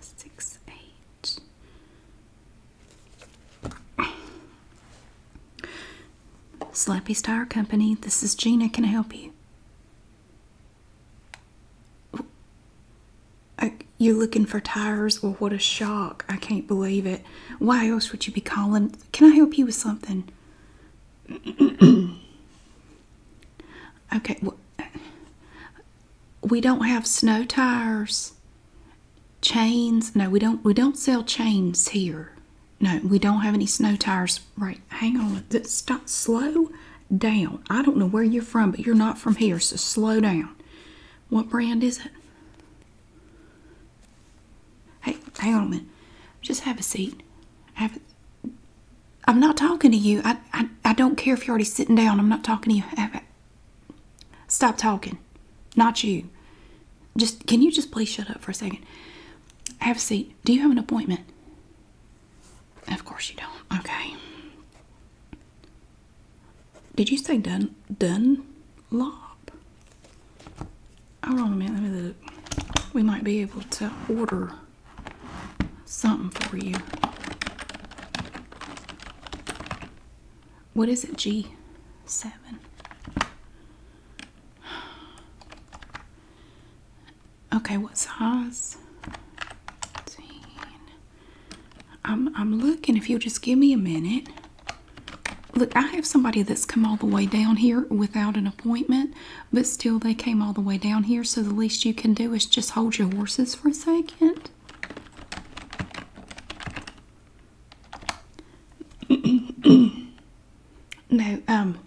Six, eight. Slappy's Tire Company, this is Gina. Can I help you? I, oh, you're looking for tires. Well, what a shock. I can't believe it. Why else would you be calling? Can I help you with something? okay, well, uh, we don't have snow tires. Chains? No, we don't we don't sell chains here. No, we don't have any snow tires. Right, hang on. Stop slow down. I don't know where you're from, but you're not from here, so slow down. What brand is it? Hey, hang on a minute. Just have a seat. i I'm not talking to you. I, I, don't care if you're already sitting down. I'm not talking to you. stop talking. Not you. Just can you just please shut up for a second? Have a seat. Do you have an appointment? Of course you don't. Okay. Did you say Dun Lop? Hold on a minute, let me look. We might be able to order something for you. What is it, G7? Okay, what size? 15. I'm, I'm looking if you'll just give me a minute. Look, I have somebody that's come all the way down here without an appointment, but still they came all the way down here, so the least you can do is just hold your horses for a second. no, um,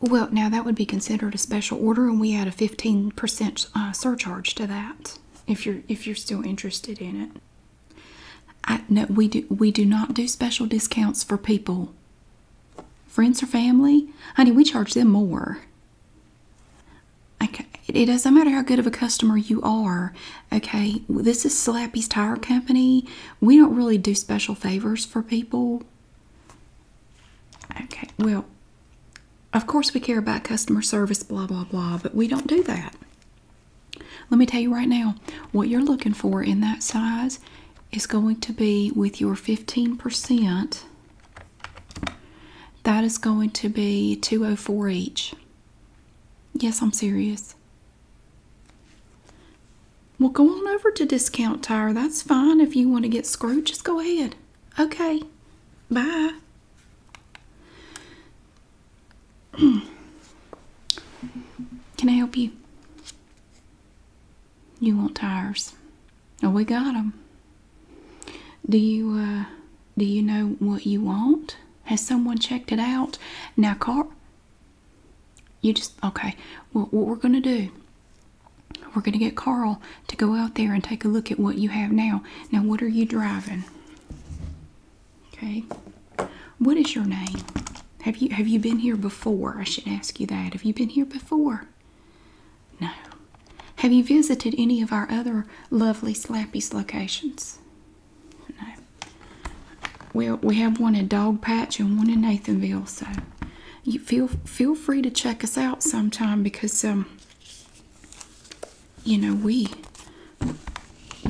well, now that would be considered a special order, and we add a 15% uh, surcharge to that if you're if you're still interested in it. I no we do we do not do special discounts for people. Friends or family? Honey, we charge them more. Okay. It doesn't matter how good of a customer you are. Okay, this is Slappy's Tire Company. We don't really do special favors for people. Okay, well, of course we care about customer service, blah, blah, blah, but we don't do that. Let me tell you right now, what you're looking for in that size is going to be with your 15%, that is going to be 204 each. Yes, I'm serious. Well, go on over to Discount Tire. That's fine. If you want to get screwed, just go ahead. Okay. Bye. Can I help you? You want tires? Oh, we got them. Do you uh, do you know what you want? Has someone checked it out? Now, car. You just okay. Well, what we're gonna do? We're gonna get Carl to go out there and take a look at what you have now. Now, what are you driving? Okay. What is your name? Have you have you been here before? I should ask you that. Have you been here before? No. Have you visited any of our other lovely Slappies locations? No. Well, we have one in Dog Patch and one in Nathanville, so you feel feel free to check us out sometime because um you know we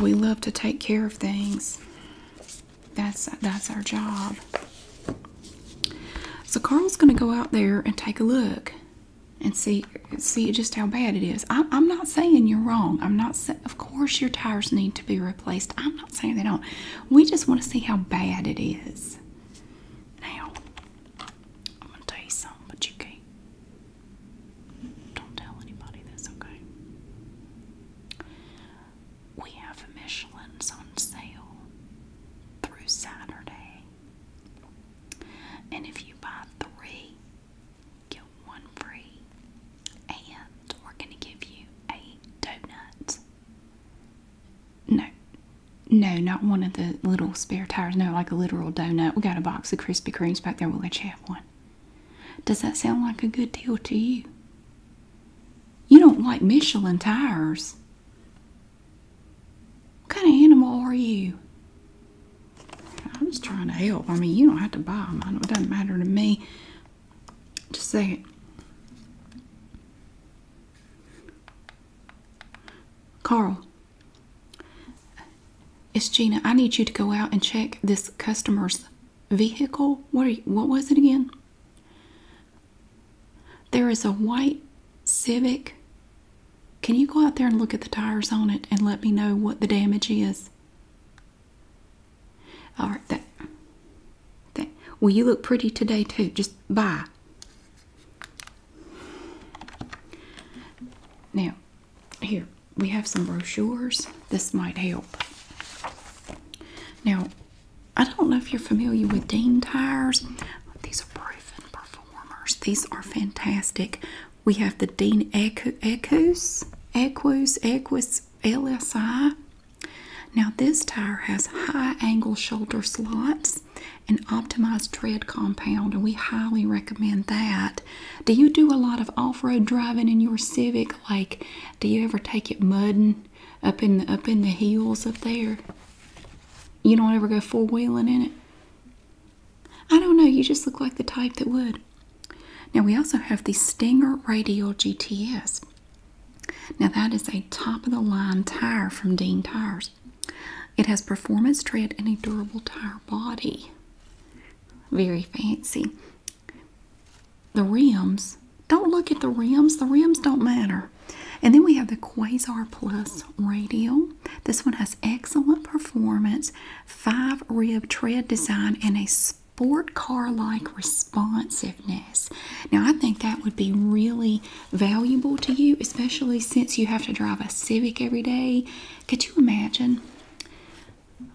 we love to take care of things that's that's our job so carl's going to go out there and take a look and see see just how bad it is I, am not saying you're wrong i'm not of course your tires need to be replaced i'm not saying they don't we just want to see how bad it is now i'm going to tell you but you can don't tell anybody this, okay? We have Michelin's on sale through Saturday. And if you buy three, get one free. And we're going to give you a donut. No. No, not one of the little spare tires. No, like a literal donut. We got a box of Krispy Kremes back there. We'll let you does that sound like a good deal to you? You don't like Michelin tires. What kind of animal are you? I'm just trying to help. I mean, you don't have to buy them. It doesn't matter to me. Just say it. Carl, it's Gina. I need you to go out and check this customer's vehicle. What? what was it again? There is a white Civic. Can you go out there and look at the tires on it and let me know what the damage is? All right. That. That. Well, you look pretty today too. Just bye. Now, here, we have some brochures. This might help. Now, I don't know if you're familiar with Dean tires. These are proven performers. These are fantastic. We have the Dean Equus, Equus, Equus LSI. Now, this tire has high angle shoulder slots and optimized tread compound, and we highly recommend that do you do a lot of off-road driving in your Civic? Like, do you ever take it mudding up in the up in the hills up there? You don't ever go four wheeling in it. I don't know. You just look like the type that would. Now we also have the Stinger Radial GTS. Now that is a top-of-the-line tire from Dean Tires. It has performance tread and a durable tire body. Very fancy. The rims, don't look at the rims. The rims don't matter. And then we have the Quasar Plus Radial. This one has excellent performance, five rib tread design, and a sport car like responsiveness. Now, I think that would be really valuable to you, especially since you have to drive a Civic every day. Could you imagine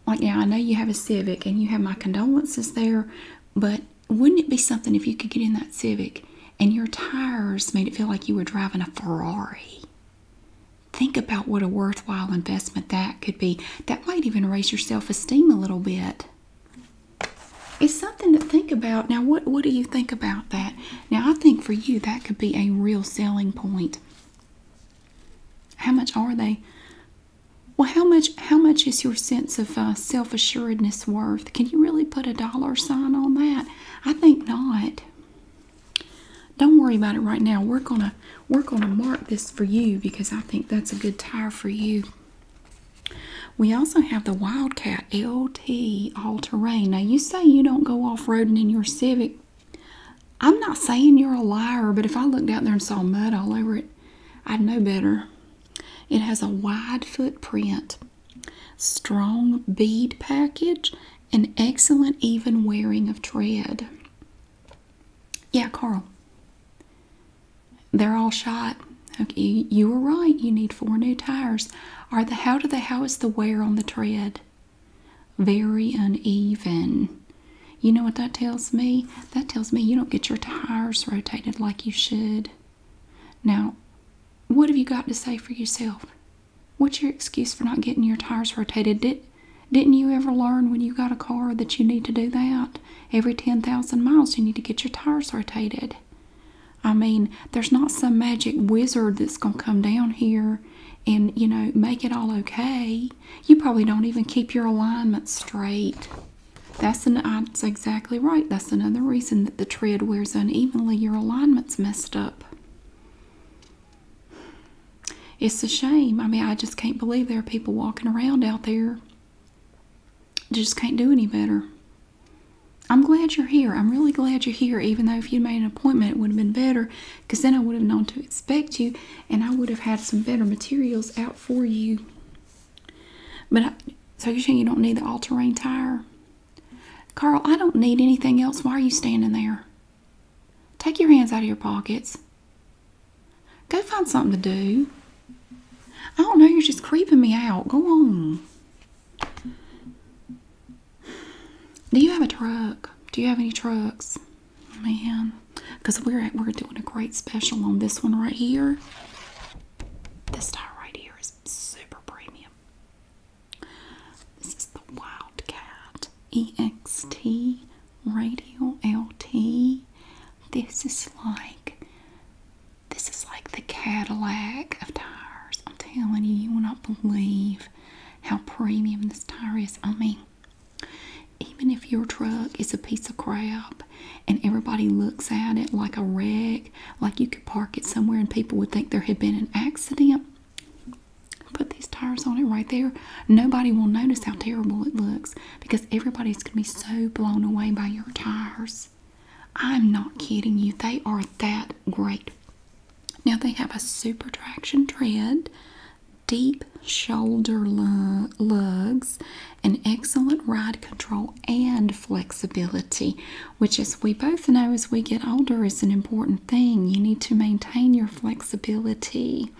like now, I know you have a Civic and you have my condolences there, but wouldn't it be something if you could get in that Civic and your tires made it feel like you were driving a Ferrari? Think about what a worthwhile investment that could be. That might even raise your self esteem a little bit. It's something to think about. Now, what, what do you think about that? Now, I think for you that could be a real selling point. How much are they? Well, how much how much is your sense of uh, self assuredness worth? Can you really put a dollar sign on that? I think not. Don't worry about it right now. We're gonna we're gonna mark this for you because I think that's a good tire for you. We also have the Wildcat LT all terrain. Now you say you don't go off roading in your Civic, I'm not saying you're a liar, but if I looked out there and saw mud all over it, I'd know better. It has a wide footprint, strong bead package, and excellent even wearing of tread. Yeah, Carl. They're all shot. Okay, you were right. You need four new tires. Are the how to they how is the wear on the tread? Very uneven. You know what that tells me? That tells me you don't get your tires rotated like you should. Now, what have you got to say for yourself? What's your excuse for not getting your tires rotated? Did, not you ever learn when you got a car that you need to do that? Every 10,000 miles, you need to get your tires rotated. I mean, there's not some magic wizard that's going to come down here and you know make it all okay you probably don't even keep your alignment straight that's an that's exactly right that's another reason that the tread wears unevenly your alignment's messed up it's a shame i mean i just can't believe there are people walking around out there just can't do any better i'm glad you're here i'm really glad you're here even though if you made an appointment it would have been better because then I would have known to expect you and I would have had some better materials out for you. But so you're saying you don't need the all terrain tire? Carl, I don't need anything else. Why are you standing there? Take your hands out of your pockets. Go find something to do. I don't know, you're just creeping me out. Go on. Do you have a truck? Do you have any trucks? Man, because we're we're doing a great special on this one right here. This tire right here is super premium. This is the Wildcat EXT Radial LT. This is like this is like the Cadillac of tires. I'm telling you, you will not believe how premium this tire is. I mean, even if your truck is a piece of crap and everybody looks at it like a wreck, like you could park it somewhere and people would think there had been an accident, put these tires on it right there. Nobody will notice how terrible it looks because everybody's going to be so blown away by your tires. I'm not kidding you, they are that great. Now they have a super traction tread, deep shoulder lugs, and excellent ride control and flexibility, which, as we both know, as we get older, is an important thing. You need to maintain your flexibility.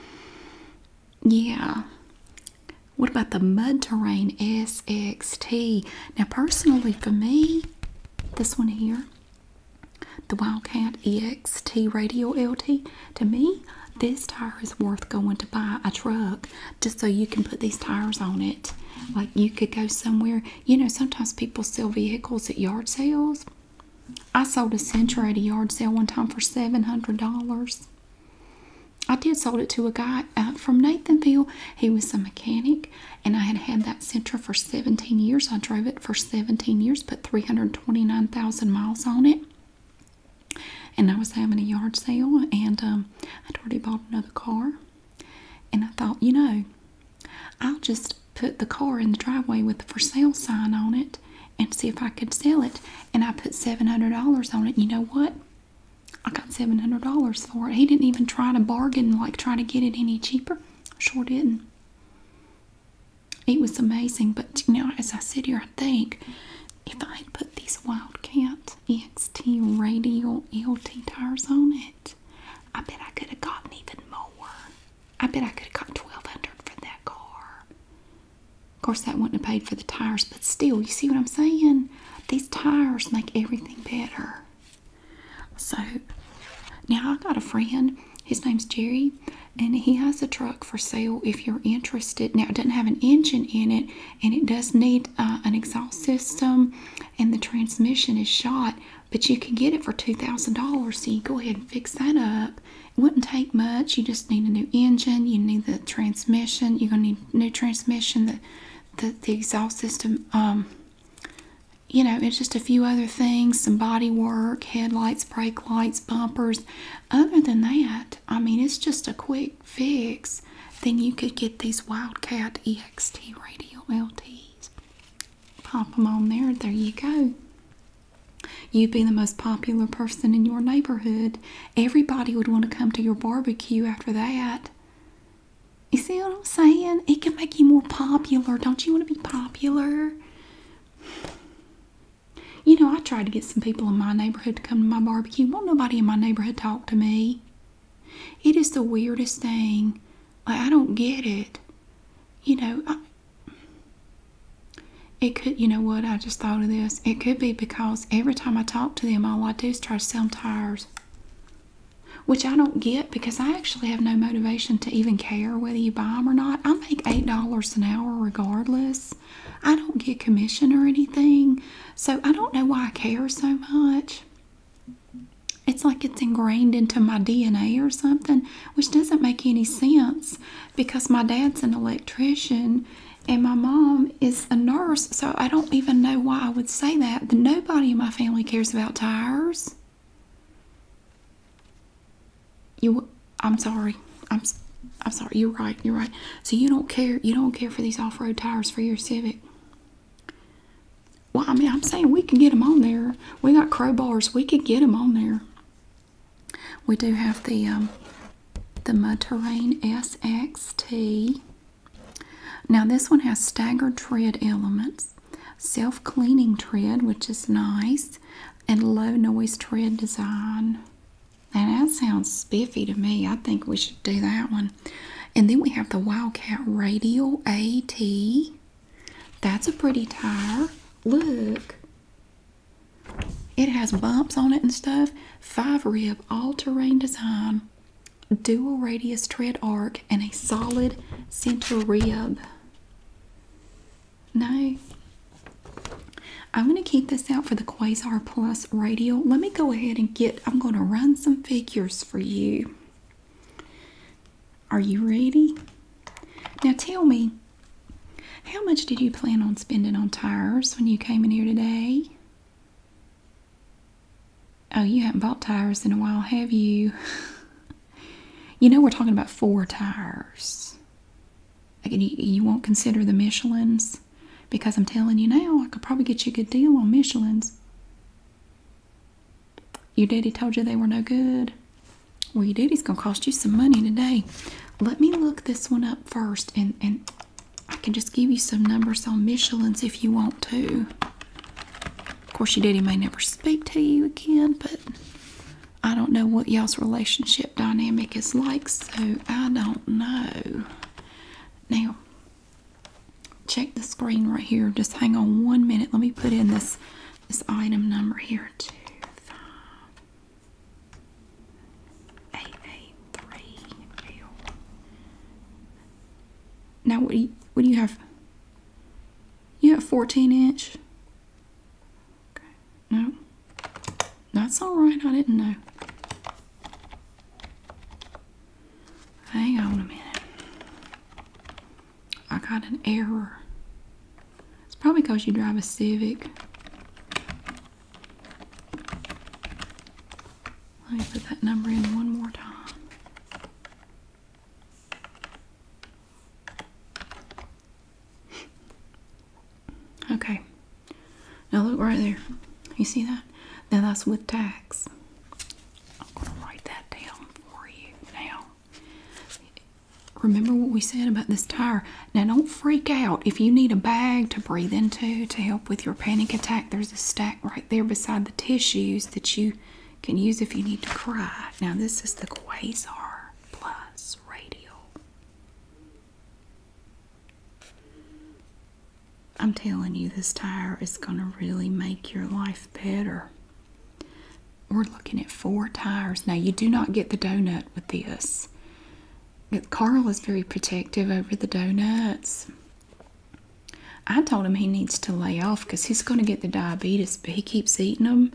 Yeah. What about the Mud Terrain SXT? Now, personally, for me, this one here, the Wildcat EXT Radio LT. To me, this tire is worth going to buy a truck just so you can put these tires on it. Like you could go somewhere. You know, sometimes people sell vehicles at yard sales. I sold a Sentra at a yard sale one time for $700. I did sold it to a guy uh, from Nathanville. He was a mechanic, and I had had that that for 17 years. I drove it for 17 years, put 329,000 miles on it. And I was having a yard sale, and um, I'd already bought another car. And I thought, you know, I'll just put the car in the driveway with the for sale sign on it and see if I could sell it. And I put $700 on it. You know what? I got $700 for it. He didn't even try to bargain, like try to get it any cheaper. Sure didn't it was amazing. But you know, as I sit here, I think if I had put these Wildcat XT radial LT tires on it, I bet I could have gotten even more. I bet I could have got twelve hundred for that car. Of course, that wouldn't have paid for the tires, but still, you see what I'm saying? These tires make everything better. So now I got a friend his name's Jerry, and he has a truck for sale if you're interested. Now, it doesn't have an engine in it, and it does need uh, an exhaust system, and the transmission is shot, but you can get it for $2,000, so you go ahead and fix that up. It wouldn't take much. You just need a new engine. You need the transmission. You're going to need new transmission, the, the, the exhaust system. Um, you know, it's just a few other things some body work, headlights, brake lights, bumpers. Other than that, I mean, it's just a quick fix. Then you could get these Wildcat EXT radio LTs. Pop them on there, there you go. You'd be the most popular person in your neighborhood. Everybody would want to come to your barbecue after that. You see what I'm saying? It can make you more popular. Don't you want to be popular? You know, I tried to get some people in my neighborhood to come to my barbecue. Won't nobody in my neighborhood talk to me? It is the weirdest thing. I don't get it. You know, I, it could, you know what, I just thought of this. It could be because every time I talk to them, all I do is try to sell tires. Which I don't get because I actually have no motivation to even care whether you buy them or not. I make $8 an hour regardless. I don't get commission or anything. So I don't know why I care so much. It's like it's ingrained into my DNA or something, which doesn't make any sense because my dad's an electrician and my mom is a nurse. So I don't even know why I would say that. Nobody in my family cares about tires. You, I'm sorry. I'm, I'm sorry. You're right. You're right. So you don't care. You don't care for these off-road tires for your Civic. Well, I mean, I'm saying we can get them on there. We got crowbars. We could get them on there. We do have the um, the Mud Terrain SXT. Now this one has staggered tread elements self-cleaning tread, which is nice, and low noise tread design. Now that sounds spiffy to me. I think we should do that one. And then we have the Wildcat Radial AT. That's a pretty tire. Look. It has bumps on it and stuff. Five rib all-terrain design. Dual radius tread arc and a solid center rib. No. I'm going to keep this out for the Quasar Plus radio. Let me go ahead and get, I'm going to run some figures for you. Are you ready? Now tell me, how much did you plan on spending on tires when you came in here today? Oh, you haven't bought tires in a while, have you? You know, we're talking about four tires. Again, you, won't consider the Michelins because I'm telling you now, I could probably get you a good deal on Michelins. Your daddy told you they were no good. Well, your daddy's gonna cost you some money today. Let me look this one up first, and and I can just give you some numbers on Michelin's if you want to. Of course, your daddy may never speak to you again, but I don't know what y'all's relationship dynamic is like, so I don't know. Now, check the screen right here. Just hang on one minute. Let me put in this this item number here. Two, five, eight, eight, three, L. Now, what do you, what do you have? You have 14 inch. Okay. No. That's alright, I didn't know. Hang on a minute. I got an error. It's probably because you drive a Civic. Let me put that number in one more time. Okay. Now look right there. You see that? Now that's with tax. I'm going to write that down for you now. Remember what we said about this tire. Now don't freak out. If you need a bag to breathe into to help with your panic attack, there's a stack right there beside the tissues that you can use if you need to cry. Now, this is the Quasar Plus Radial. I'm telling you, this tire is going to really make your life better. We're looking at four tires. Now, you do not get the donut with this. Carl is very protective over the donuts. I told him he needs to lay off because he's going to get the diabetes, but he keeps eating them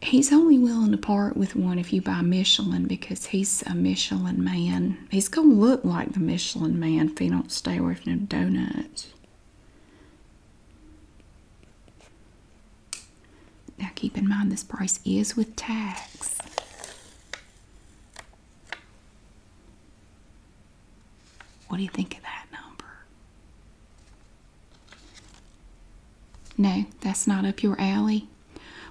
he's only willing to part with one if you buy Michelin because he's a Michelin man. He's going to look like the Michelin man if he don't stay away from the donuts. Now keep in mind this price is with tax. What do you think of that number? No, that's not up your alley.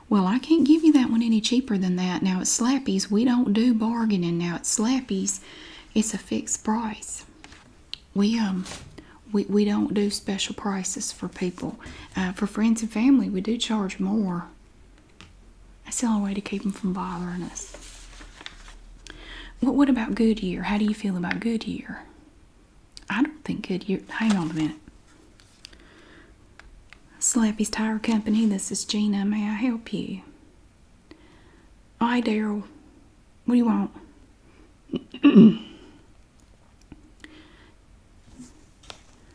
Well, I can't give you that one any cheaper than that. Now it's Slappy's, we don't do bargaining. Now it's Slappy's, it's a fixed price. We um, we we don't do special prices for people. Uh, for friends and family, we do charge more. That's the only way to keep them from bothering us. What what about Goodyear? How do you feel about Goodyear? I don't think Goodyear. Hang on a minute. Slappy's Tire Company. This is Gina. May I help you? Hi, Daryl. What do you want?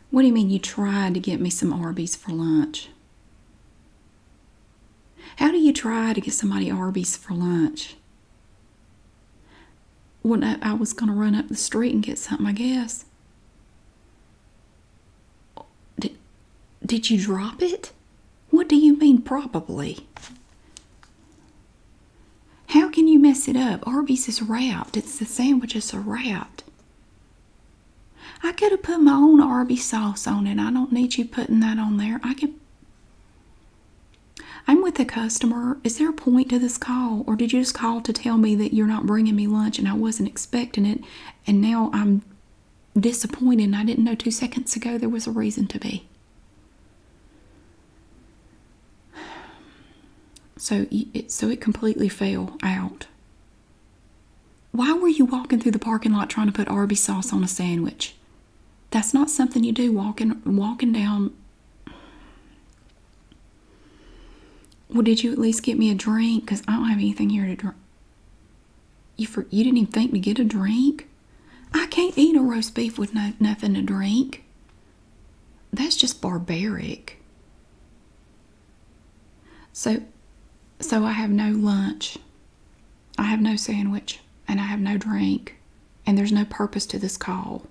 what do you mean you tried to get me some Arby's for lunch? How do you try to get somebody Arby's for lunch? When I, I was going to run up the street and get something, I guess. Did, did you drop it? What do you mean, probably? How can you mess it up? Arby's is wrapped. It's the sandwiches are wrapped. I could have put my own Arby's sauce on it. I don't need you putting that on there. I could. I'm with a customer. Is there a point to this call, or did you just call to tell me that you're not bringing me lunch and I wasn't expecting it, and now I'm disappointed I didn't know two seconds ago there was a reason to be? So so it completely fell out. Why were you walking through the parking lot trying to put Arby's sauce on a sandwich? That's not something you do walking walking down. Well, did you at least get me a drink? Because I don't have anything here to drink. You for you didn't even think to get a drink? I can't eat a roast beef with no nothing to drink. That's just barbaric. So so I have no lunch. I have no sandwich, and I have no drink, and there's no purpose to this call.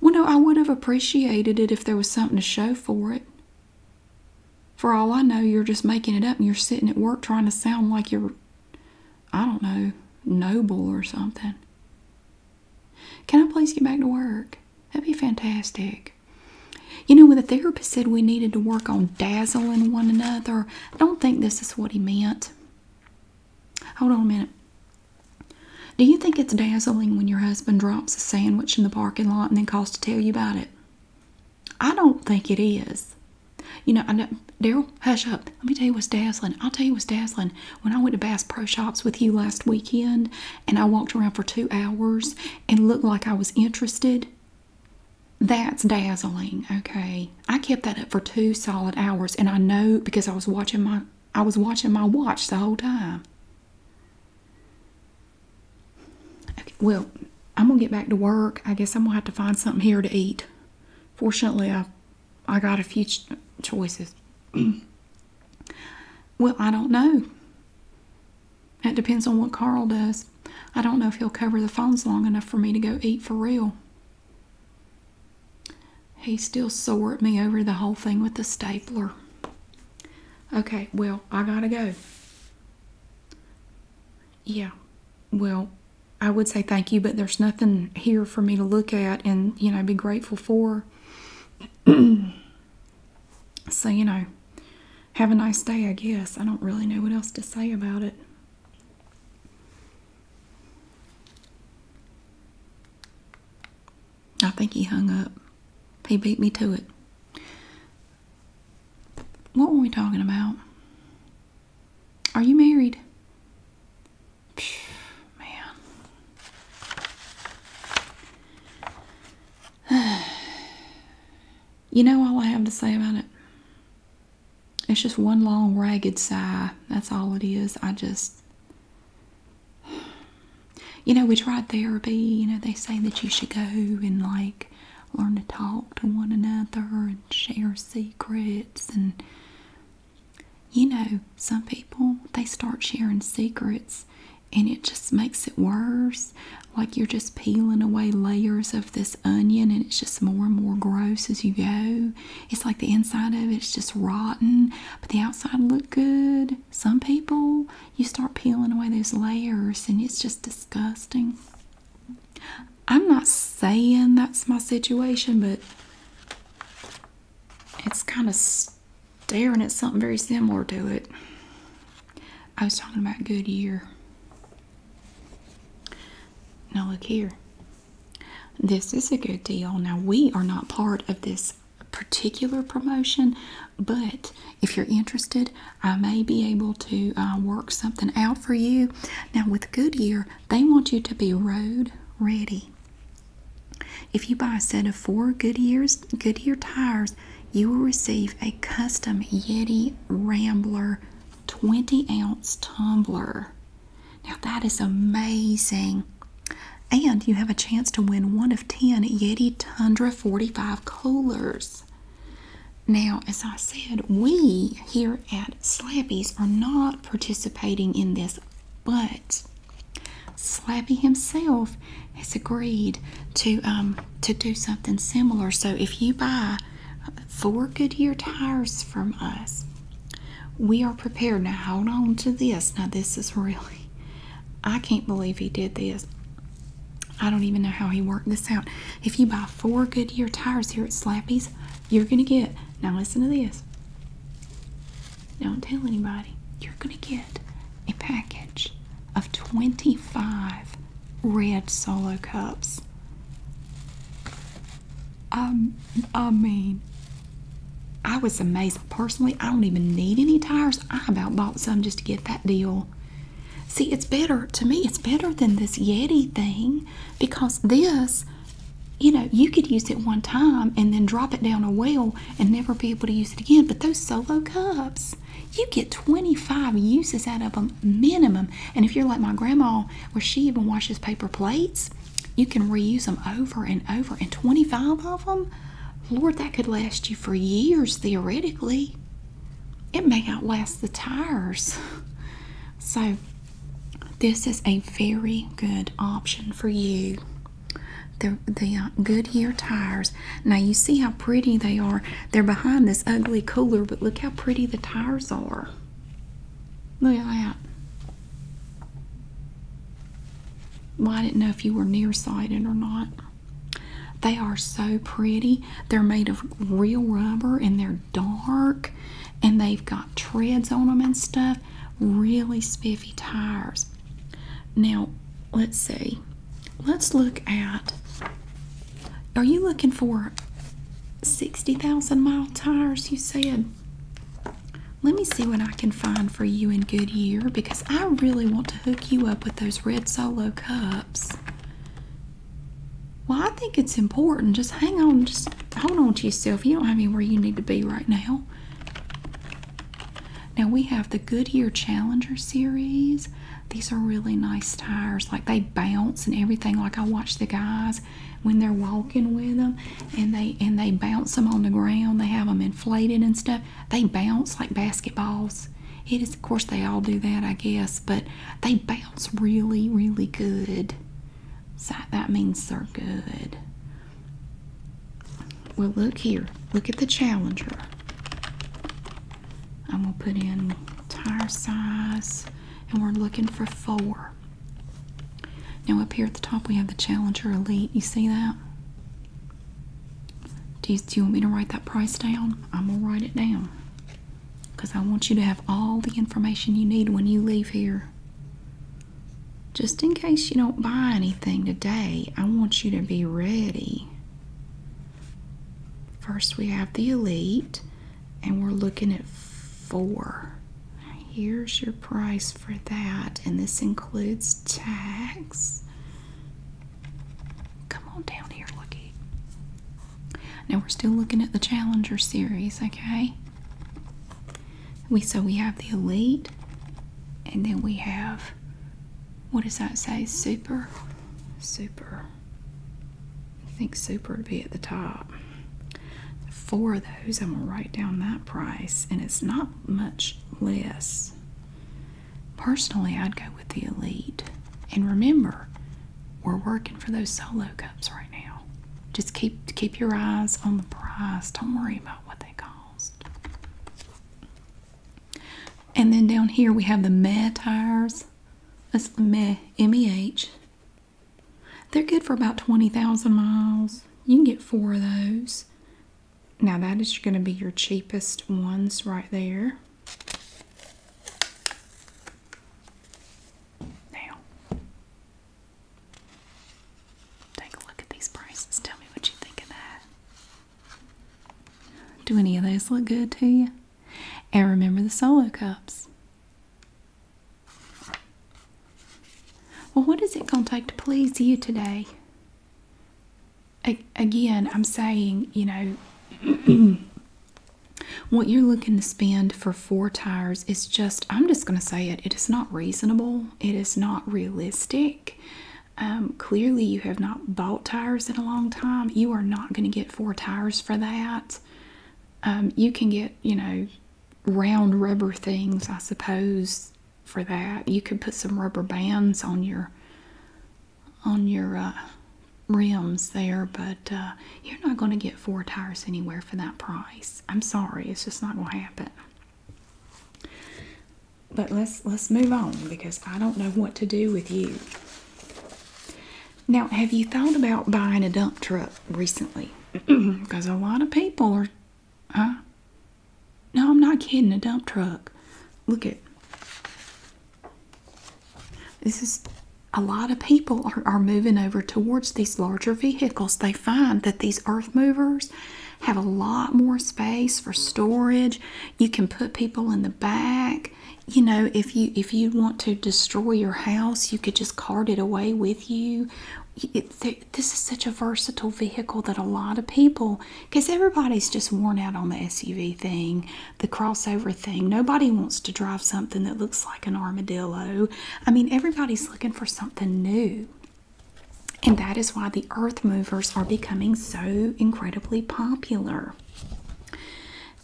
Well, no, I would have appreciated it if there was something to show for it. For all I know, you're just making it up and you're sitting at work trying to sound like you're, I don't know, noble or something. Can I please get back to work? That'd be fantastic. You know, when the therapist said we needed to work on dazzling one another, I don't think this is what he meant. Hold on a minute. Do you think it's dazzling when your husband drops a sandwich in the parking lot and then calls to tell you about it? I don't think it is. You know, I know, Daryl, hush up. Let me tell you what's dazzling. I'll tell you what's dazzling. When I went to Bass Pro Shops with you last weekend and I walked around for two hours and looked like I was interested, that's dazzling. Okay. I kept that up for two solid hours and I know because I was watching my I was watching my watch the whole time. well, I'm gonna get back to work. I guess I'm gonna have to find something here to eat. Fortunately, I I got a few choices. well, I don't know. It depends on what Carl does. I don't know if he'll cover the phones long enough for me to go eat for real. He still sore at me over the whole thing with the stapler. Okay, well, I gotta go. Yeah, well, I would say thank you, but there's nothing here for me to look at and, you know, be grateful for. so, you know, have a nice day, I guess. I don't really know what else to say about it. I think he hung up. He beat me to it. What were we talking about? Are you married? Man. you know all I have to say about it? It's just one long ragged sigh. That's all it is. I just, you know, we tried therapy. You know, they say that you should go and like learn to talk to one another and share secrets. And, you know, some people, they start sharing secrets and it just makes it worse. Like you're just peeling away layers of this onion and it's just more and more gross as you go. It's like the inside of it's just rotten, but the outside looked good. Some people, you start peeling away those layers and it's just disgusting. I'm not saying that's my situation, but it's kind of staring at something very similar to it. I was talking about Goodyear. Now look here. This is a good deal. Now we are not part of this particular promotion, but if you're interested, I may be able to uh, work something out for you. Now with Goodyear, they want you to be road ready. If you buy a set of four Goodyear's, Goodyear tires, you will receive a custom Yeti Rambler 20 ounce tumbler. Now that is amazing. And you have a chance to win one of 10 Yeti Tundra 45 coolers. Now, as I said, we here at Slappy's are not participating in this, but Slappy himself has agreed to um, to do something similar. So if you buy four Goodyear tires from us. We are prepared. Now, hold on to this. Now, this is really, I can't believe he did this. I don't even know how he worked this out. If you buy four Goodyear tires here at Slappy's, you're going to get, now listen to this. Don't tell anybody. You're going to get a package of 25 red solo cups. Um, I mean, I was amazed. Personally, I don't even need any tires. I about bought some just to get that deal. See, it's better to me, it's better than this Yeti thing because this, you know, you could use it one time and then drop it down a well and never be able to use it again. But those solo cups, you get 25 uses out of them minimum. And if you're like my grandma, where she even washes paper plates, you can reuse them over and over. And 25 of them, Lord, that could last you for years theoretically. It may outlast the tires. So, this is a very good option for you. The, the uh, Goodyear tires. Now, you see how pretty they are. They're behind this ugly cooler, but look how pretty the tires are. Look at that. Well, I didn't know if you were nearsighted or not. They are so pretty. They're made of real rubber and they're dark and they've got treads on them and stuff. Really spiffy tires. Now, let's see. Let's look at are you looking for 60,000 mile tires? You said. Let me see what I can find for you in Goodyear because I really want to hook you up with those red solo cups. Well, I think it's important. Just hang on, just hold on to yourself. You don't have anywhere you need to be right now. Now we have the Goodyear Challenger series. These are really nice tires. Like they bounce and everything. Like I watch the guys when they're walking with them and they and they bounce them on the ground they have them inflated and stuff they bounce like basketballs it is of course they all do that i guess but they bounce really really good so that means they're good well look here look at the challenger i'm gonna put in tire size and we're looking for four. Now up here at the top we have the Challenger Elite. You see that? Do you, want me to write that price down? I'm going to write it down because I want you to have all the information you need when you leave here. Just in case you don't buy anything today, I want you to be ready. First, we have the Elite and we're looking at four. Here's your price for that, and this includes tax. Come on down here, looky. Now we're still looking at the Challenger series, okay? We so we have the Elite, and then we have what does that say? Super, super. I think super would be at the top. Four of those, I'm gonna write down that price, and it's not much less. Personally, I'd go with the Elite. And remember, we're working for those solo cups right now. Just keep keep your eyes on the price. Don't worry about what they cost. And then down here we have the Meh tires. That's the Meh M E H they're good for about 20,000 miles. You can get four of those. Now, that is going to be your cheapest ones right there. Now, take a look at these prices. Tell me what you think of that. Do any of those look good to you? And remember the solo cups. Well, what is it going to take to please you today? again, I'm saying, you know, what you're looking to spend for four tires is just, I'm just going to say it, it is not reasonable, it is not realistic. Um, clearly, you have not bought tires in a long time. You are not going to get four tires for that. Um, you can get, you know, round rubber things, I suppose, for that. You could put some rubber bands on your on your uh, rims there, but uh, you're not going to get four tires anywhere for that price. I'm sorry, it's just not going to happen. But let's let's move on because I don't know what to do with you. Now, have you thought about buying a dump truck recently? Because a lot of people are, huh? No, I'm not kidding. A dump truck. Look at this is a lot of people are, are moving over towards these larger vehicles. They find that these earth movers have a lot more space for storage. You can put people in the back you know if you if you want to destroy your house, you could just cart it away with you. this is such a versatile vehicle that a lot of people, because everybody's just worn out on the SUV thing, the crossover thing. Nobody wants to drive something that looks like an armadillo. I mean, everybody's looking for something new. And that is why the earth movers are becoming so incredibly popular.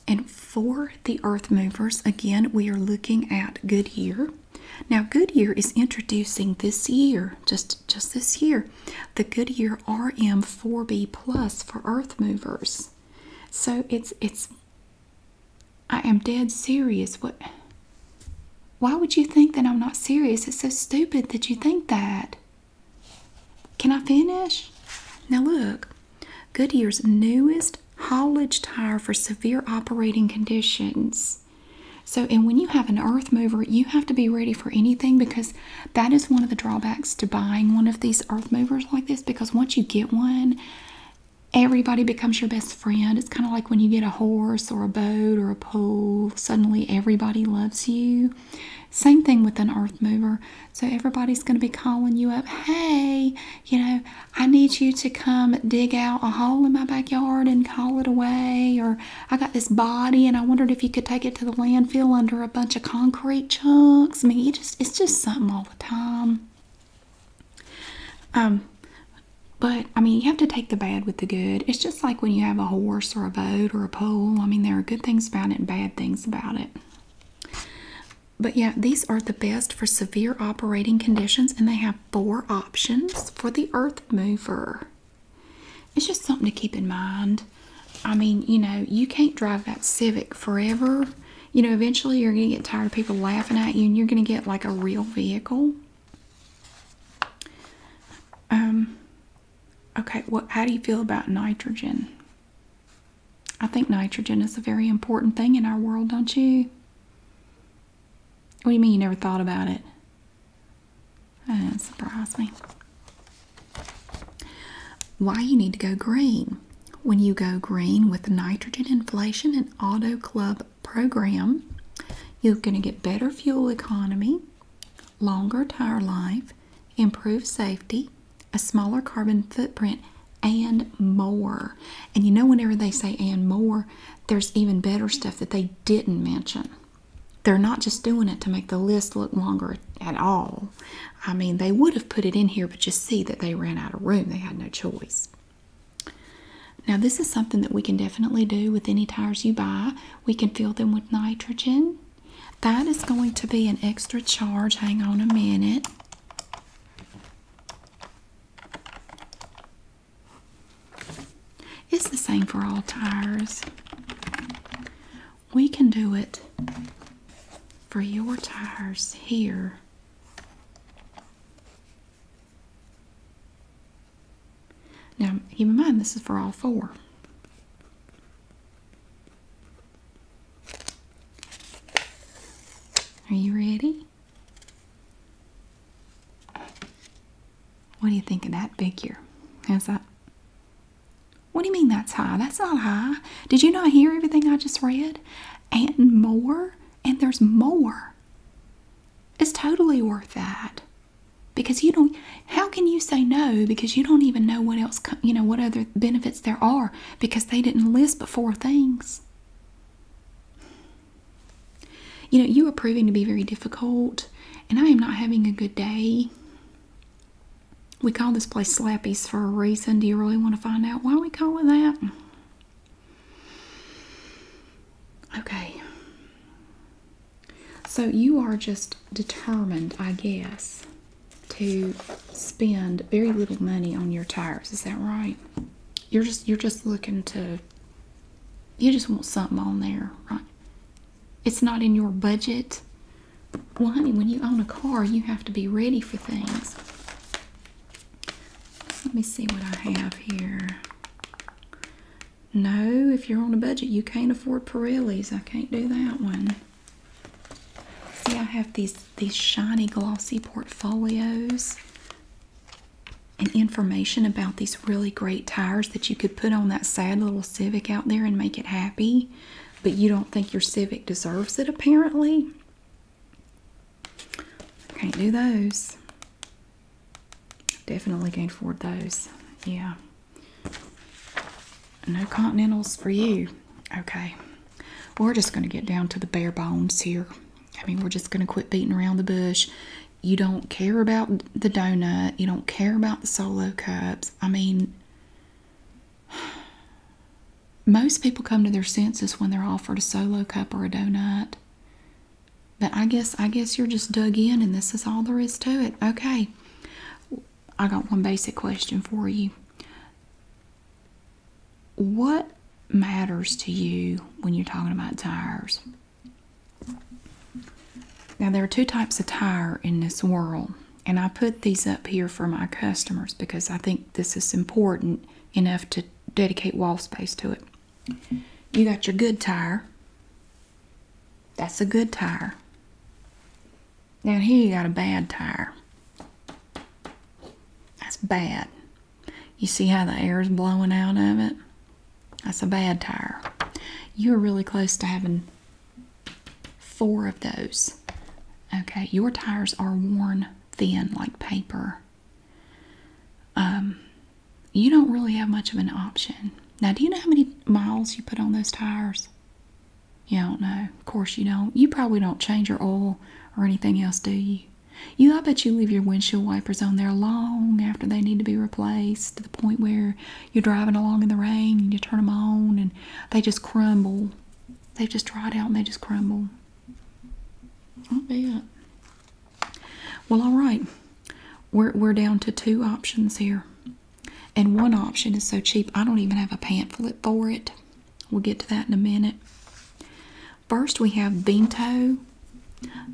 And for the earth movers, again, we are looking at Goodyear. Now, Goodyear is introducing this year, just, just this year, the Goodyear RM4B Plus for earth movers. So it's, it's, I am dead serious. What, why would you think that I'm not serious? It's so stupid that you think that. Can I finish? Now, look, Goodyear's newest haulage tire for severe operating conditions. So, and when you have an earth mover, you have to be ready for anything because that is one of the drawbacks to buying one of these earth movers like this. Because once you get one, everybody becomes your best friend. It's kind of like when you get a horse or a boat or a pool, suddenly everybody loves you. Same thing with an earth mover. So, everybody's going to be calling you up, hey, you know, I need you to come dig out a hole in my backyard and call it away. Or I got this body and I wondered if you could take it to the landfill under a bunch of concrete chunks. I mean, it's just something all the time. Um, but I mean, you have to take the bad with the good. It's just like when you have a horse or a boat or a pole. I mean, there are good things about it and bad things about it but yeah, these are the best for severe operating conditions, and they have four options for the earth mover. It's just something to keep in mind. I mean, you know, you can't drive that Civic forever. You know, eventually you're going to get tired of people laughing at you and you're going to get like a real vehicle. Um, okay, Well, how do you feel about nitrogen? I think nitrogen is a very important thing in our world, don't you? What do you mean you never thought about it? That doesn't surprise me. Why you need to go green? When you go green with the nitrogen inflation and auto club program, you're going to get better fuel economy, longer tire life, improved safety, a smaller carbon footprint, and more. And you know, whenever they say and more, there's even better stuff that they didn't mention. They're not just doing it to make the list look longer at all. I mean, they would have put it in here, but you see that they ran out of room. They had no choice. Now, this is something that we can definitely do with any tires you buy. We can fill them with nitrogen. That is going to be an extra charge. Hang on a minute. It's the same for all tires. We can do it for your tires here. Now, keep in mind, this is for all four. Are you ready? What do you think of that figure? How's that? What do you mean that's high? That's not high. Did you not hear everything I just read? And more? And there's more. It's totally worth that. Because you don't, how can you say no because you don't even know what else, you know, what other benefits there are because they didn't list before things. You know, you are proving to be very difficult, and I am not having a good day. We call this place Slappy's for a reason. Do you really want to find out why we call it that? Okay. So you are just determined, I guess, to spend very little money on your tires. Is that right? You're just you're just looking to you just want something on there, right? It's not in your budget. Well, honey, when you own a car, you have to be ready for things. Let me see what I have here. No, if you're on a budget, you can't afford Pirellis. I can't do that one. See, I have these these shiny glossy portfolios and information about these really great tires that you could put on that sad little Civic out there and make it happy, but you don't think your Civic deserves it apparently. Can't do those. Definitely can't afford those. Yeah. No Continentals for you. Okay, we're just going to get down to the bare bones here. I mean, we're just going to quit beating around the bush. You don't care about the donut, you don't care about the solo cups. I mean, most people come to their senses when they're offered a solo cup or a donut. But I guess I guess you're just dug in and this is all there is to it. Okay. I got one basic question for you what matters to you when you're talking about tires? Now, there are two types of tire in this world, and I put these up here for my customers because I think this is important enough to dedicate wall space to it. You got your good tire. That's a good tire. Now, here you got a bad tire. That's bad. You see how the air is blowing out of it? That's a bad tire. You're really close to having four of those. Okay, your tires are worn thin like paper. Um, you don't really have much of an option. Now, do you know how many miles you put on those tires? You don't know. Of course you don't. You probably don't change your oil or anything else, do you? You, I bet you leave your windshield wipers on there long after they need to be replaced to the point where you're driving along in the rain and you turn them on and they just crumble. they just dried out and they just crumble. I bet. Well, all right. We're, we're down to two options here. And one option is so cheap, I don't even have a pamphlet for it. We'll get to that in a minute. First, we have Bento.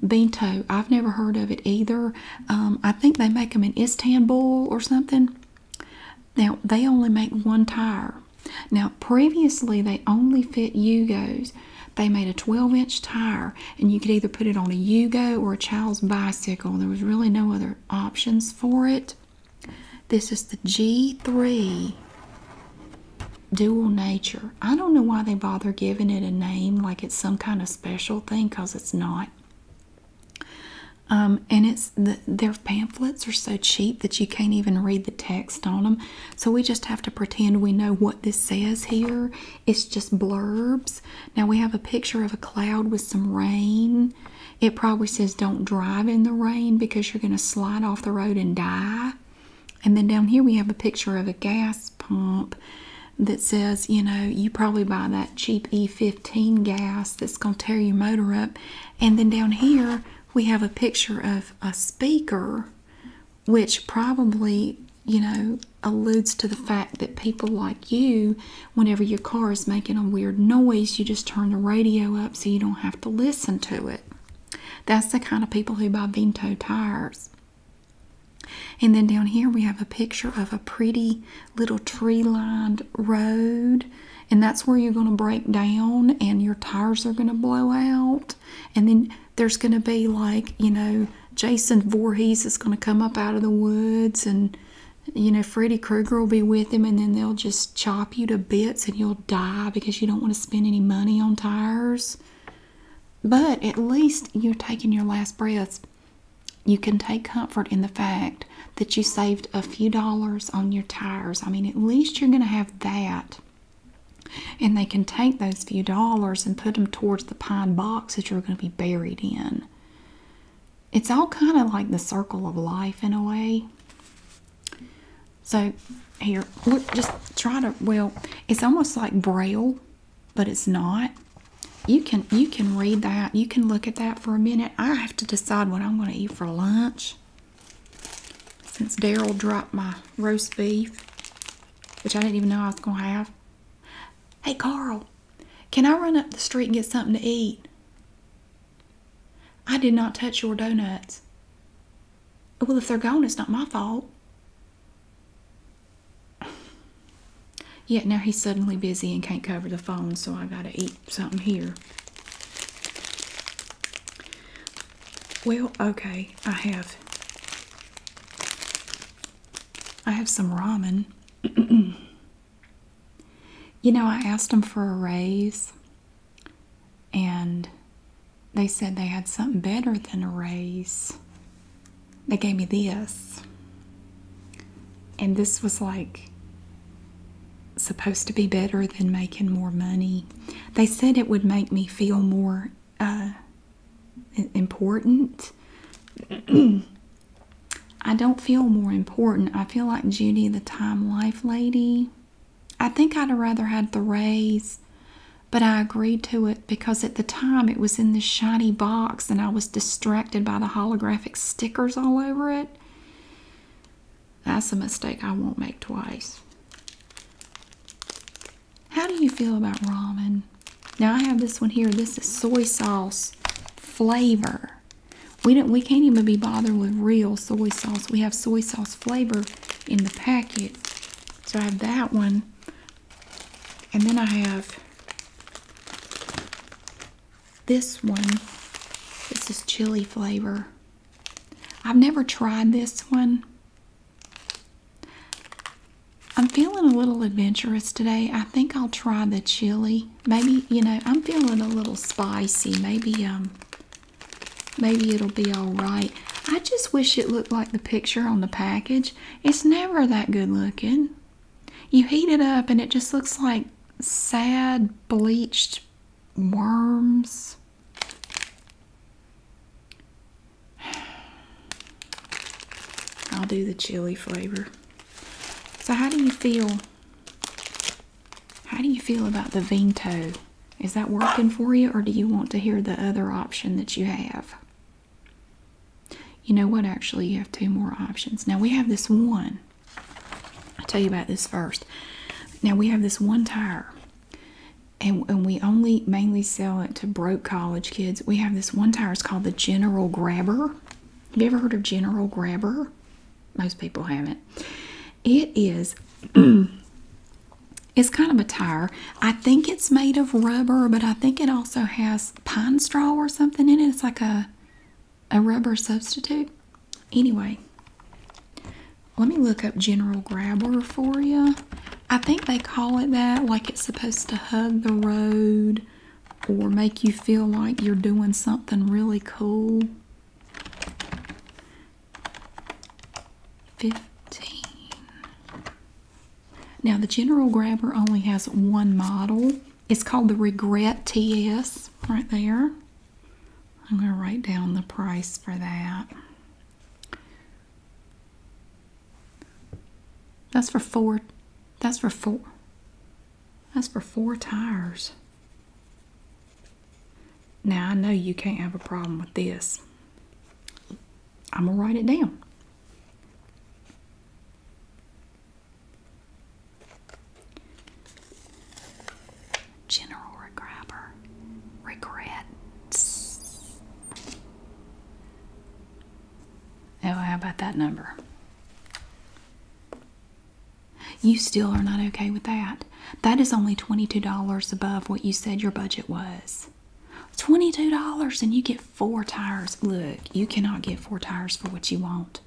Bento, I've never heard of it either. Um, I think they make them in Istanbul or something. Now, they only make one tire. Now, previously, they only fit Yugos. They made a 12 inch tire, and you could either put it on a Yugo or a child's bicycle. There was really no other options for it. This is the G3 Dual Nature. I don't know why they bother giving it a name like it's some kind of special thing because it's not. Um, and it's the, their pamphlets are so cheap that you can't even read the text on them. So we just have to pretend we know what this says here. It's just blurbs. Now we have a picture of a cloud with some rain it probably says don't drive in the rain because you're going to slide off the road and die. And then down here we have a picture of a gas pump that says, you know, you probably buy that cheap E15 gas that's going to tear your motor up. And then down here we have a picture of a speaker, which probably, you know, alludes to the fact that people like you, whenever your car is making a weird noise, you just turn the radio up so you don't have to listen to it. That's the kind of people who buy Vento tires. And then down here we have a picture of a pretty little tree lined road. And that's where you're going to break down and your tires are going to blow out. And then there's going to be like, you know, Jason Voorhees is going to come up out of the woods and, you know, Freddy Krueger will be with him and then they'll just chop you to bits and you'll die because you don't want to spend any money on tires. But at least you're taking your last breaths. You can take comfort in the fact that you saved a few dollars on your tires. I mean, at least you're going to have that. And they can take those few dollars and put them towards the pine box that you're going to be buried in. It's all kind of like the circle of life in a way. So here, look, just try to. Well, it's almost like braille, but it's not. You can you can read that. You can look at that for a minute. I have to decide what I'm going to eat for lunch. Since Daryl dropped my roast beef, which I didn't even know I was going to have. Hey Carl, can I run up the street and get something to eat? I did not touch your donuts. Well, if they're gone, it's not my fault. Yet yeah, now he's suddenly busy and can't cover the phone, so I gotta eat something here. Well, okay, I have. I have some ramen. you know, I asked him for a raise and they said they had something better than a raise. They gave me this. And this was like supposed to be better than making more money. They said it would make me feel more uh, important. I don't feel more important. I feel like Judy the Time Life Lady. I think I'd have rather had the rays, but I agreed to it because at the time it was in this shiny box and I was distracted by the holographic stickers all over it. That's a mistake I won't make twice. How do you feel about ramen? Now I have this one here. This is soy sauce flavor, we don't we can't even be bothered with real soy sauce. We have soy sauce flavor in the packet. So I have that one. And then I have this one. This is chili flavor. I've never tried this one. I'm feeling a little adventurous today. I think I'll try the chili. Maybe, you know, I'm feeling a little spicy. Maybe um Maybe it'll be all right. I just wish it looked like the picture on the package. It's never that good looking. You heat it up and it just looks like sad, bleached worms. I'll do the chili flavor. So, how do you feel how do you feel about the Vento? Is that working for you, or do you want to hear the other option that you have? You know what? Actually, you have two more options. Now, we have this one. I'll tell you about this first. Now, we have this one tire, and, we only mainly sell it to broke college kids. We have this one tire. It's called the General Grabber. Have you ever heard of General Grabber? most people haven't. It is. It's kind of a tire. I think it's made of rubber, but I think it also has pine straw or something in it. It's like a a rubber substitute. Anyway, let me look up General Grabber for you. I think they call it that, like it's supposed to hug the road or make you feel like you're doing something really cool. 15 now the general grabber only has one model it's called the regret ts right there i'm going to write down the price for that that's for four that's for four that's for four tires now I know you can't have a problem with this. I'm going to write it down. General Regrabber regrets. Oh, how about that number? You still are not okay with that. That is only $22 above what you said your budget was. $22 and you get four tires. Look, you cannot get four tires for what you want.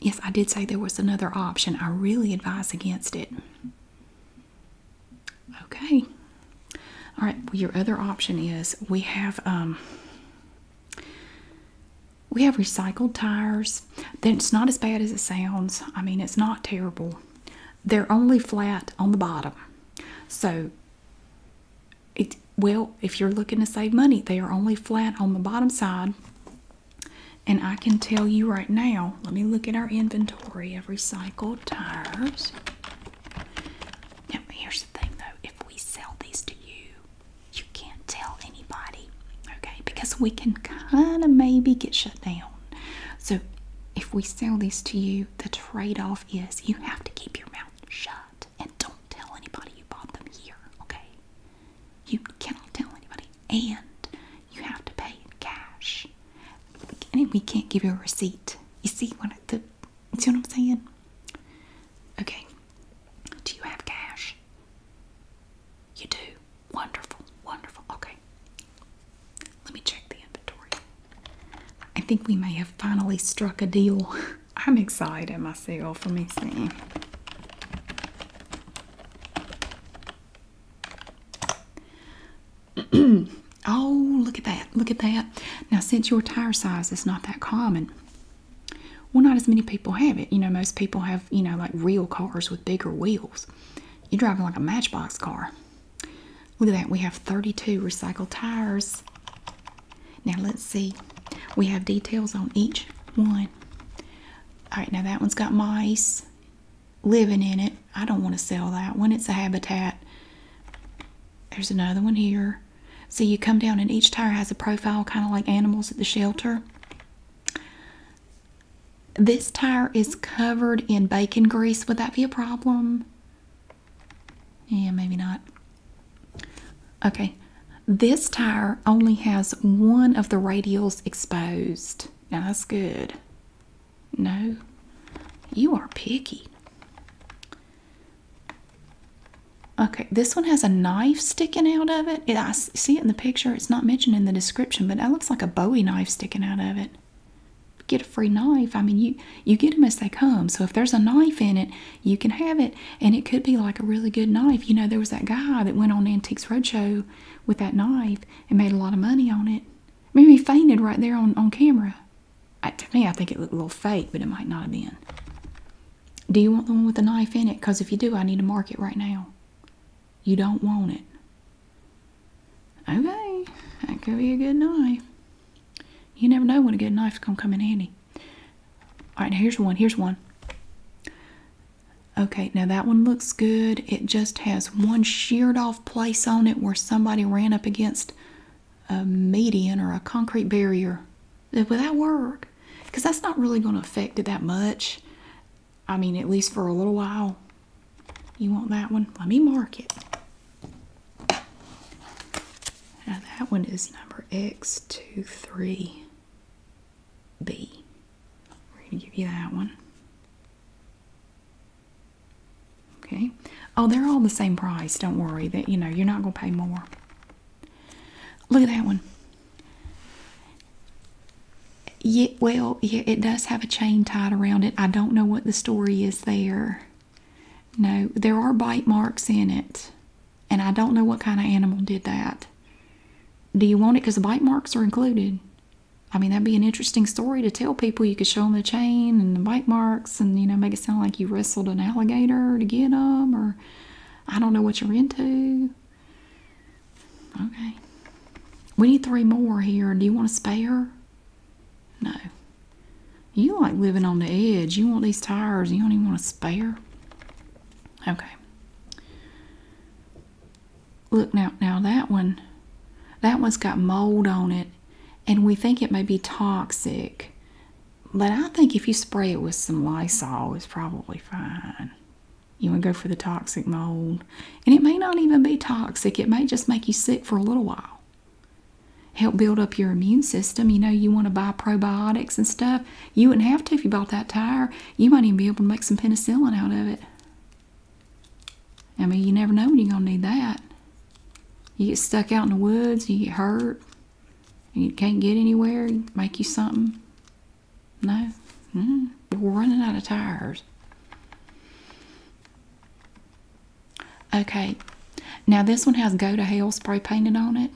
Yes, I did say there was another option. I really advise against it. Okay. All right, your other option is we have um we have recycled tires. Then it's not as bad as it sounds. I mean, it's not terrible. They're only flat on the bottom. So, it well, if you're looking to save money, they are only flat on the bottom side. And I can tell you right now, let me look at our inventory of recycled tires. Now, here's the thing though, if we sell these to you, you can't tell anybody, okay? Because we can kind of maybe get shut down. So if we sell these to you, the trade off is you have to keep your mouth shut and don't tell anybody you bought them here, okay? You cannot tell anybody, and you have to pay in cash. And we can't give you a receipt. you see what I'm saying? Okay. Do you have cash? You do. Wonderful, wonderful. Okay. Let me check the inventory. I think we may have finally struck a deal. I'm excited myself. for me see. oh, look at that. Look at that. Now, since your tire size is not that common, well, not as many people have it. You know, most people have you know, like real cars with bigger wheels. You're driving like a matchbox car. Look at that. We have 32 recycled tires. Now let's see. We have details on each one. All right, now that one's got mice living in it. I don't want to sell that When It's a habitat. There's another one here. So you come down and each tire has a profile kind of like animals at the shelter. This tire is covered in bacon grease. Would that be a problem? Yeah, maybe not. Okay, this tire only has one of the radials exposed. Now that's good. No, you are picky. Okay, this one has a knife sticking out of it. I see it in the picture. It's not mentioned in the description, but that looks like a Bowie knife sticking out of it. Get a free knife. I mean, you you get them as they come. So if there's a knife in it, you can have it, and it could be like a really good knife. You know, there was that guy that went on Antiques Roadshow with that knife and made a lot of money on it. Maybe fainted right there on on camera. I, to me, I think it looked a little fake, but it might not have been. Do you want the one with the knife in it? Because if you do, I need to mark it right now you don't want it. Okay, that could be a good knife. You never know when a good knife's gonna come in handy. All right, here's one. Here's one. Okay, now that one looks good. It just has one sheared off place on it where somebody ran up against a median or a concrete barrier. Would that work? Because that's not really going to affect it that much. I mean, at least for a little while. You want that one? Let me mark it. that one is number x two three. b We're going to give you that one. Okay. Oh, they're all the same price. Don't worry that, you know, you're not going to pay more. Look at that one. Yeah, well, yeah, it does have a chain tied around it. I don't know what the story is there. No, there are bite marks in it. And I don't know what kind of animal did that. Do you want it because the bite marks are included? I mean, that'd be an interesting story to tell people. You could show them the chain and the bite marks and, you know, make it sound like you wrestled an alligator to get them or I don't know what you're into. Okay. We need three more here. Do you want a spare? No. You like living on the edge. You want these tires. You don't even want a spare. Okay. Look now, now that one, that one's got mold on it, and we think it may be toxic. But I think if you spray it with some Lysol, it's probably fine. You want to go for the toxic mold. And it may not even be toxic, it may just make you sick for a little while. Help build up your immune system. You know, you want to buy probiotics and stuff. You wouldn't have to if you bought that tire. You might even be able to make some penicillin out of it. I mean, you never know when you're going to need that. You get stuck out in the woods, you get hurt, you can't get anywhere, make you something. No. We're mm-hmm. running out of tires. Okay. Now this one has go to hell spray painted on it.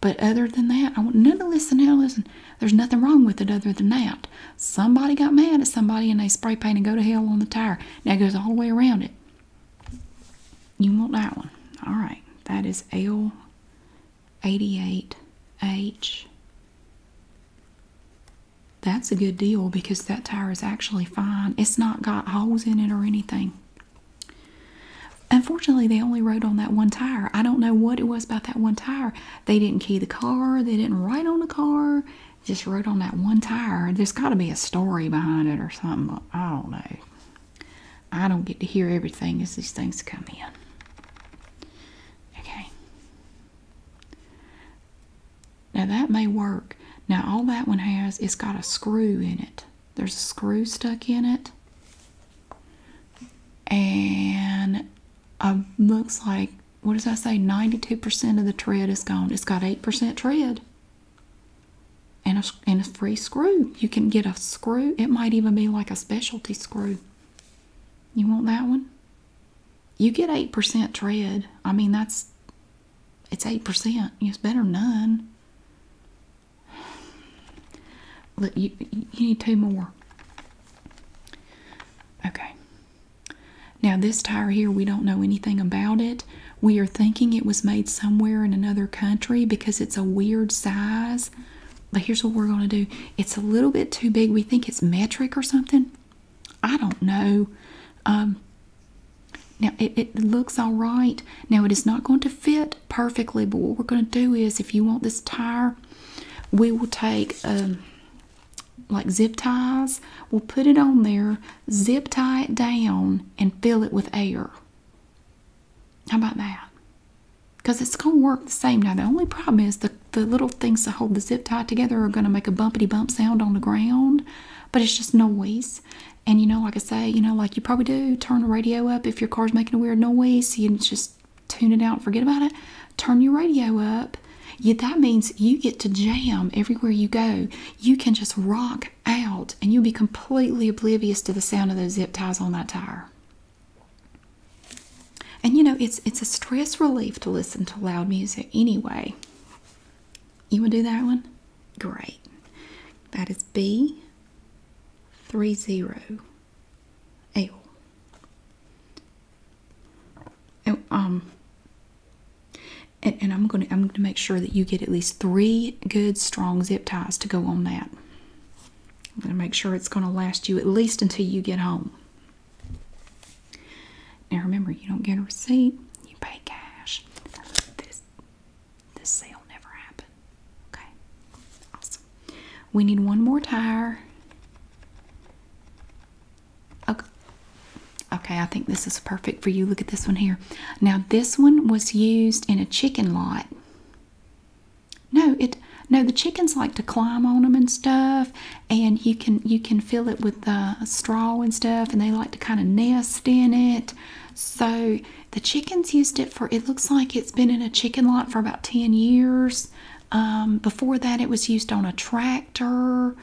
But other than that, I want none of this. now. Listen, there's nothing wrong with it other than that. Somebody got mad at somebody and they spray painted go to hell on the tire. Now it goes all the way around it. You want that one. All right. That is L 88H. That's a good deal because that tire is actually fine. It's not got holes in it or anything. Unfortunately, they only rode on that one tire. I don't know what it was about that one tire. They didn't key the car, they didn't write on the car, just rode on that one tire. There's got to be a story behind it or something. I don't know. I don't get to hear everything as these things come in. Okay. Now that may work. Now all that one has, it's got a screw in it. There's a screw stuck in it. And it um, looks like, what does I say? 92% of the tread is gone. It's got 8% tread. And a, and a free screw. You can get a screw. It might even be like a specialty screw. You want that one? You get 8% tread. I mean, that's it's 8%. It's better than none. Look, you, you need two more. Okay. Now, this tire here, we don't know anything about it. We are thinking it was made somewhere in another country because it's a weird size. But here's what we're going to do it's a little bit too big. We think it's metric or something. I don't know. Um, now it, it looks all right. Now it is not going to fit perfectly, but what we're going to do is if you want this tire, we will take um, like zip ties, we'll put it on there, zip tie it down, and fill it with air. How about that? because it's going to work the same. Now, the only problem is the, the little things that hold the zip tie together are going to make a bumpity bump sound on the ground, but it's just noise. And, you know, like I say, you know, like you probably do, turn the radio up if your car's making a weird noise. You just tune it out forget about it. Turn your radio up. Yeah, that means you get to jam everywhere you go. You can just rock out and you'll be completely oblivious to the sound of those zip ties on that tire. And you know, it's it's a stress relief to listen to loud music anyway. You want to do that one? Great. That is B three zero L. Oh, um and, and I'm gonna I'm gonna make sure that you get at least three good strong zip ties to go on that. I'm going to make sure it's going to last you at least until you get home. Now remember, you don't get a receipt, you pay cash. This, this sale never happened. Okay, awesome. We need one more tire. Okay. okay, I think this is perfect for you. Look at this one here. Now, this one was used in a chicken lot. No, it no the chickens like to climb on them and stuff, and you can you can fill it with uh, straw and stuff, and they like to kind of nest in it. So the chickens used it for. It looks like it's been in a chicken lot for about ten years. Um, before that, it was used on a tractor,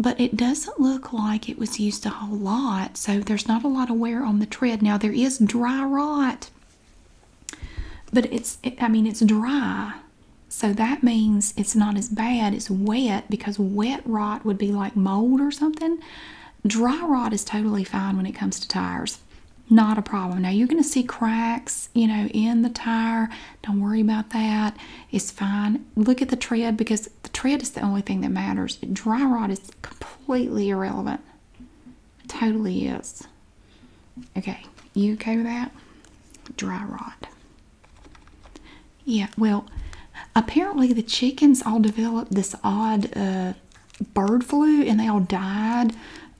but it doesn't look like it was used a whole lot. So there's not a lot of wear on the tread. Now there is dry rot but it's, I mean, it's dry. So that means it's not as bad as wet because wet rot would be like mold or something. Dry rot is totally fine when it comes to tires. Not a problem. Now you're going to see cracks, you know, in the tire. Don't worry about that. It's fine. Look at the tread because the tread is the only thing that matters. Dry rot is completely irrelevant totally is. Okay, you okay with that? Dry rot. Yeah, well, apparently the chickens all developed this odd uh, bird flu and they all died.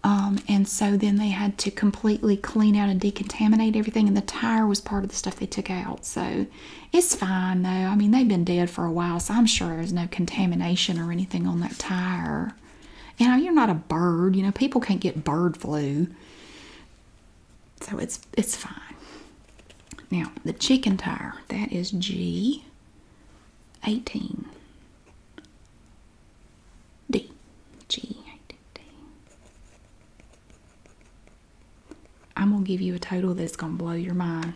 Um, and so then they had to completely clean out and decontaminate everything, and the tire was part of the stuff they took out. So it's fine though. I mean, they've been dead for a while, so I'm sure there's no contamination or anything on that tire. You oh, know, you're not a bird. You know, people can't get bird flu. So it's it's fine. Now, the chicken tire, that is G 18. D. G 18 D. I'm gonna give you a total that's gonna blow your mind.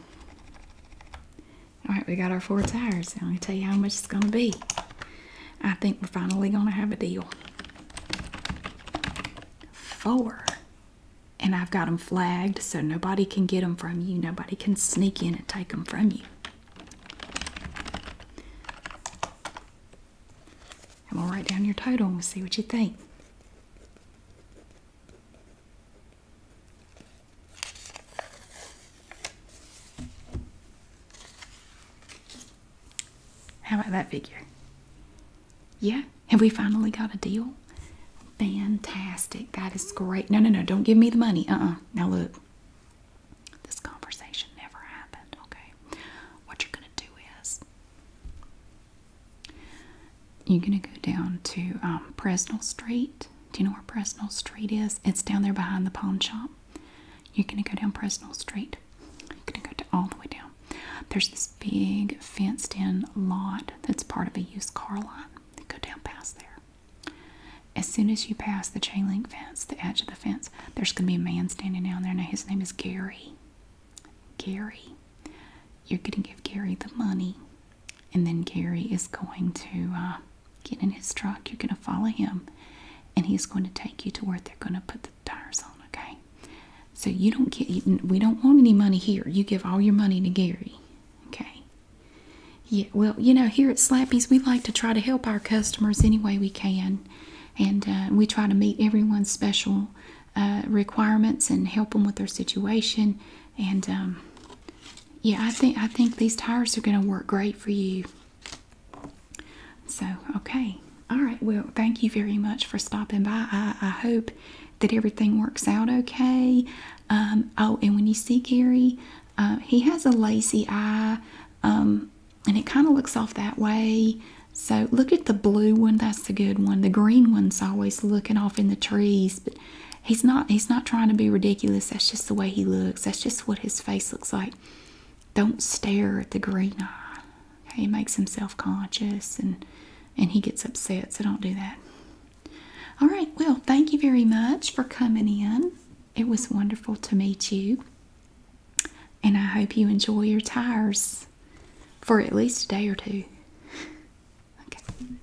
Alright, we got our four tires. I'm gonna tell you how much it's gonna be. I think we're finally going to have a deal. Four. And I've got them flagged so nobody can get them from you. Nobody can sneak in and take them from you. And we'll write down your title and we'll see what you think. How about that figure? Yeah? Have we finally got a deal? Fantastic. That is great. No, no, no. Don't give me the money. Uh uh Now look, this conversation never happened, okay? What you're going to do is you're going to go down to um, Presnell Street. Do you know where Presnell Street is? It's down there behind the pawn shop. You're gonna go down Presnell Street. You're gonna go all the way down. There's this big fenced-in lot that's part of a used car lot. go down past there. As soon as you pass the chain link fence, the edge of the fence, there's gonna be a man standing down there. Now his name is Gary. Gary. You're gonna give Gary the money, and then Gary is going to uh, get in his truck. You're going to follow him, and he's going to take you to where they're going to put the tires on, okay? So you don't get, we don't want any money here. You give all your money to Gary, okay? Yeah, well, you know, here at Slappy's, we like to try to help our customers any way we can, and uh, we try to meet everyone's special uh, requirements and help them with their situation. And um, yeah, I think I think these tires are going to work great for you. So, okay. All right. Well, thank you very much for stopping by. I, hope that everything works out okay. Um, oh, and when you see Gary, uh, he has a lazy eye, um, and it kind of looks off that way. So look at the blue one. That's the good one. The green one's always looking off in the trees, but he's not. He's not trying to be ridiculous. That's just the way he looks. That's just what his face looks like don't stare at the green eye. Okay, it makes him self conscious and and he gets upset, so don't do that. All right, well, thank you very much for coming in. It was wonderful to meet you. And I hope you enjoy your tires for at least a day or two. Okay.